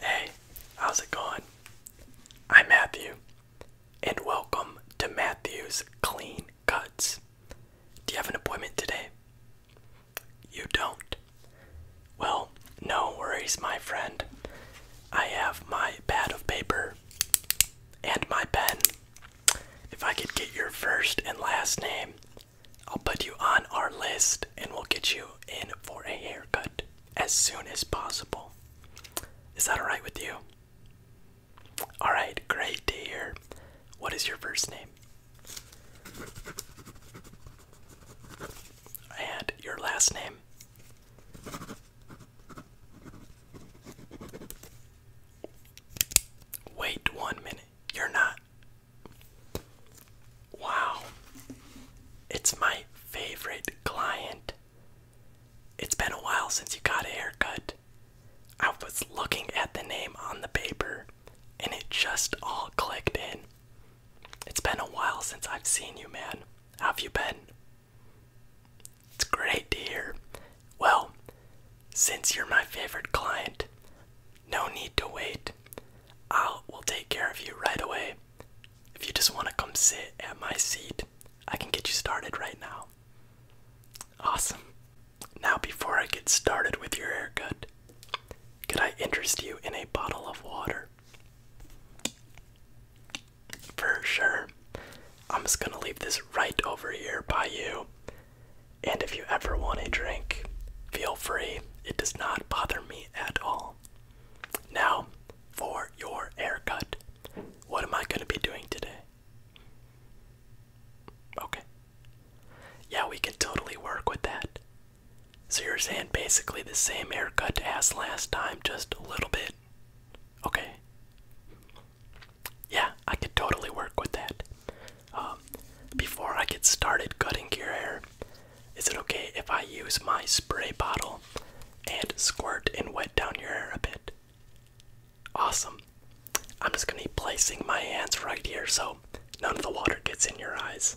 Hey, how's it going? I'm Matthew, and welcome to Matthew's Clean Cuts. Do you have an appointment today? You don't. Well, no worries, my friend. I have my pad of paper and my pen. If I could get your first and last name, I'll put you on our list and we'll get you in for a haircut as soon as possible. Is that alright with you? Alright, great to hear. What is your first name? And your last name? Wait one minute. You're not. Wow. It's my favorite client. It's been a while since you got a haircut. I was looking at the name on the paper and it just all clicked in. It's been a while since I've seen you, man. How have you been? It's great to hear. Well, since you're my favorite client, no need to wait. I'll take care of you right away. If you just want to come sit at my seat, I can get you started right now. Awesome. Now before I get started with your haircut, could I interest you in a bottle of water? For sure. I'm just gonna leave this right over here by you. And if you ever want a drink, feel free. It does not bother me at all. Now, for your haircut, what am I going to be doing today? Okay. Yeah, we can totally work with that. So you're saying basically the same haircut as last time, just a little bit? Okay. Yeah, I could totally work with that. Um, before I get started cutting your hair, is it okay if I use my spray bottle and squirt and wet down your hair a bit? Awesome. I'm just going to be placing my hands right here so none of the water gets in your eyes.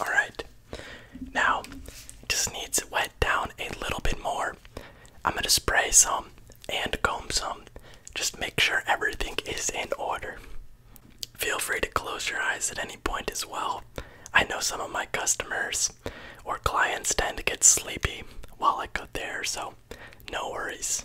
All right. Now, just needs wet down a little bit more. I'm going to spray some and comb some. Just make sure everything is in order. Feel free to close your eyes at any point as well. I know some of my customers or clients tend to get sleepy while I go there, so no worries.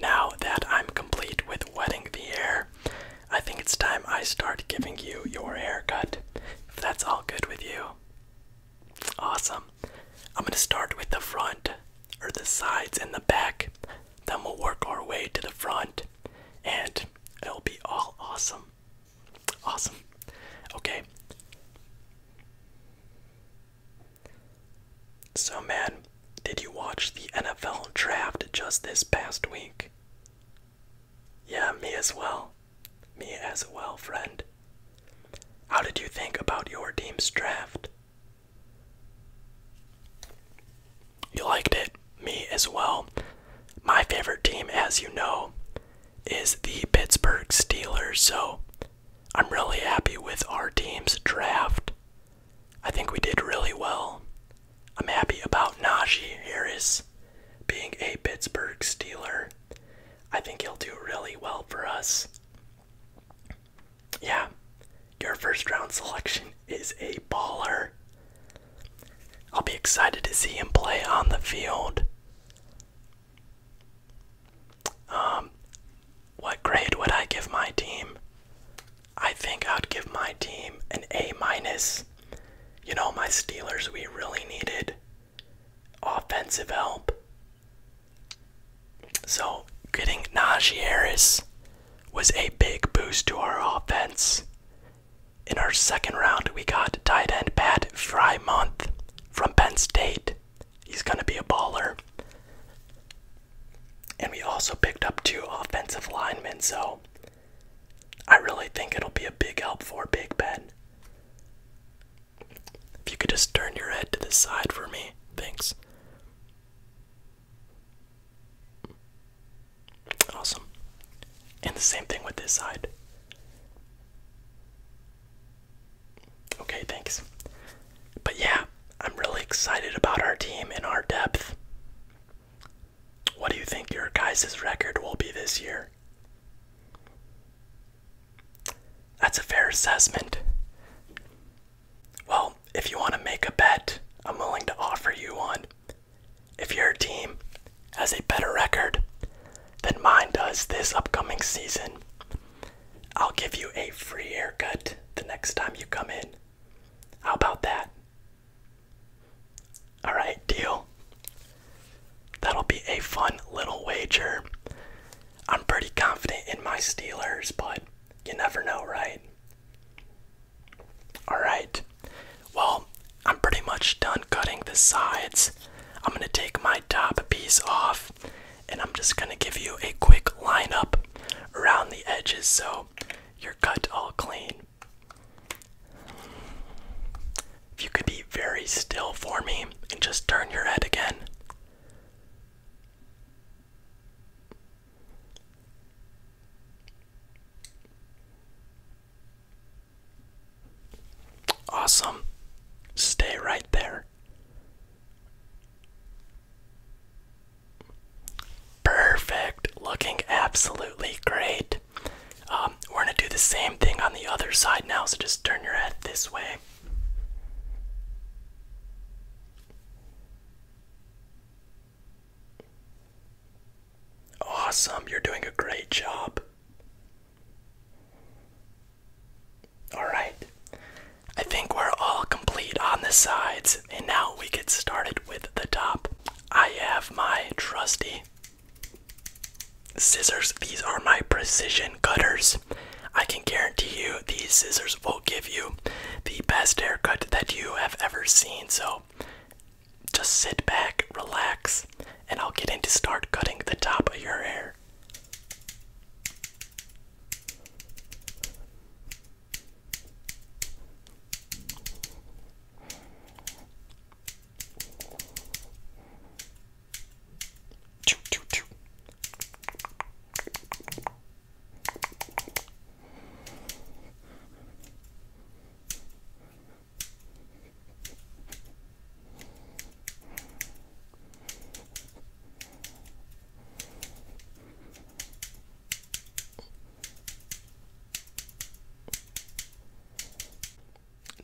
Now that I'm complete with wetting the hair, I think it's time I start giving you your haircut. If that's all good with you. Awesome. I'm gonna start with the front, or the sides and the back. Then we'll work our way to the front, and it'll be all awesome. Awesome. Okay. So, man, did you watch the NFL draft just this past week? Yeah, me as well. Me as well, friend. How did you think about your team's draft? You liked it, me as well. My favorite team, as you know, is the Pittsburgh Steelers, so I'm really happy with our team's draft. I think we did really well. I'm happy about Najee Harris being a Pittsburgh Steeler. I think he'll do really well for us yeah, your first round selection is a baller. I'll be excited to see him play on the field. Um, what grade would I give my team? I think I'd give my team an A minus. You know, my Steelers, we really needed offensive help. So getting Najee Harris was a big boost to our offense. In our second round, we got tight end Pat Frymonth from Penn State. He's gonna be a baller. And we also picked up two offensive linemen, so I really think it'll be a big help for Big Ben. If you could just turn your head to the side for me, thanks. Awesome. And the same thing with this side. Okay, thanks. But yeah, I'm really excited about our team and our depth. What do you think your guys' record will be this year? That's a fair assessment. Well, if you want to make a bet, I'm willing to offer you one. If your team has a better record than mine does this upcoming season, I'll give you a free haircut the next time you come in. How about that? Alright, deal. That'll be a fun little wager. I'm pretty confident in my Steelers, but you never know, right? Alright, well, I'm pretty much done cutting the sides. I'm gonna take my top piece off and I'm just gonna give you a quick line up around the edges so you're cut all clean. If you could be very still for me and just turn your head again. Awesome. Stay right there. Perfect. Looking absolutely great. Um, we're going to do the same thing on the other side now, so just turn your head this way. Awesome, you're doing a great job. Alright, I think we're all complete on the sides, and now we get started with the top. I have my trusty scissors, these are my precision cutters. I can guarantee you these scissors will give you the best haircut that you have ever seen. So just sit back, relax, and I'll get in to start cutting the top of your hair.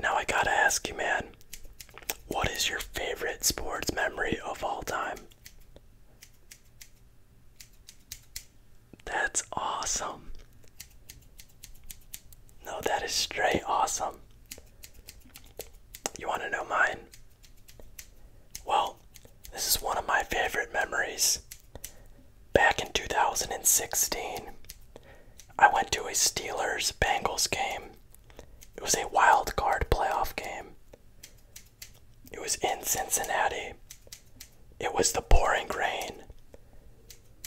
Now I gotta ask you, man, what is your favorite sports memory of all time? That's awesome. No, that is straight awesome. You want to know mine? Well, this is one of my favorite memories. Back in 2016, I went to a Steelers Bengals game. It was a wild card playoff game. It was in Cincinnati. It was the pouring rain.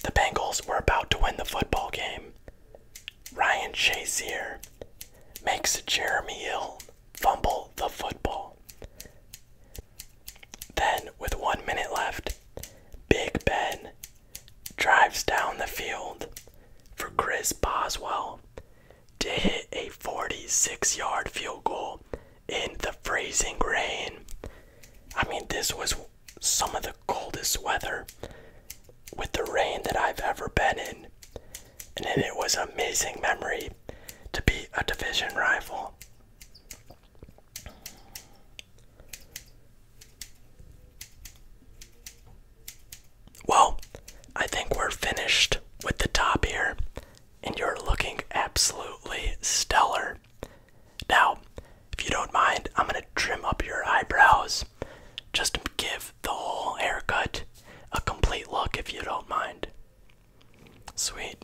The Bengals were about to win the football game. Ryan Shazier makes Jeremy Hill fumble the football. Then, with one minute left, Big Ben drives down the field for Chris Boswell to hit a 46 yard field goal in the freezing rain. I mean, this was some of the coldest weather with the rain that I've ever been in. And it was an amazing memory to be a division rival. Well, I think we're finished with the top here, and you're looking absolutely stellar. Now, if you don't mind, I'm going to trim up your eyebrows just to give the whole haircut a complete look if you don't mind. Sweet.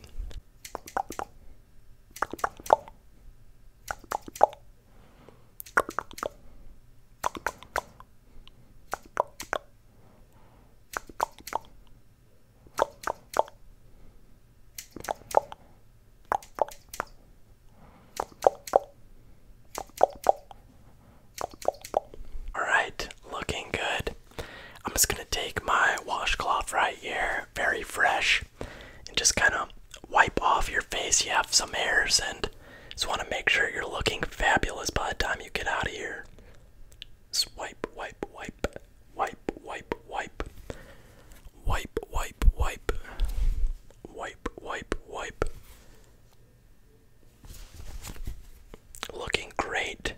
Alright, looking good. I'm just gonna take my washcloth right here, very fresh, and just kind of wipe off your face. You have some hairs and just want to make sure you're looking fabulous by the time you get out of here. Swipe, wipe, wipe, wipe, wipe, wipe, wipe, wipe, wipe, wipe, wipe, Looking great.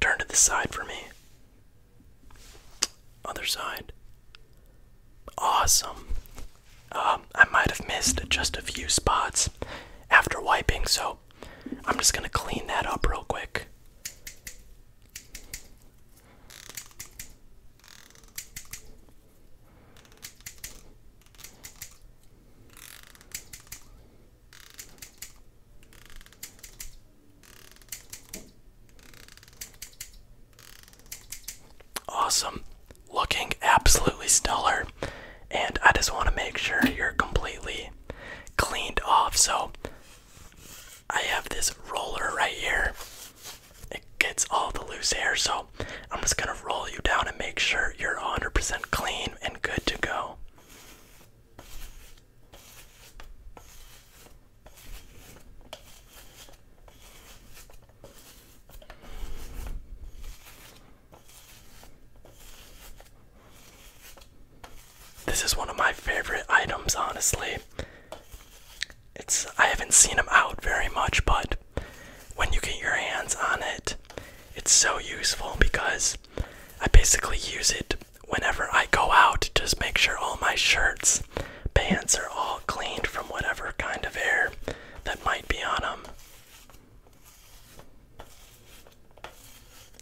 Turn to the side for me. Other side. Awesome. Um, I might have missed just a few spots after wiping, so I'm just gonna clean that up real quick. Awesome looking absolutely stellar. And I just want to make sure you're completely cleaned off. So I have this roller right here. It gets all the loose hair. So I'm just going to roll you down and make sure you're 100% clean and good to go. This is one of my favorite items, honestly. It's I haven't seen them out very much, but when you get your hands on it, it's so useful because I basically use it whenever I go out to just make sure all my shirts, pants are all cleaned from whatever kind of air that might be on them.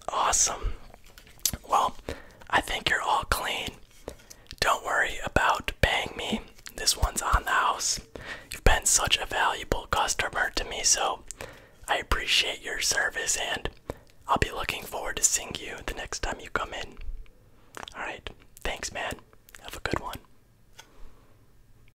Awesome. Well, I think you're all clean. Don't worry about paying me. This one's on the house. You've been such a valuable customer to me, so I appreciate your service and I'll be looking forward to seeing you the next time you come in. Alright, thanks, man. Have a good one.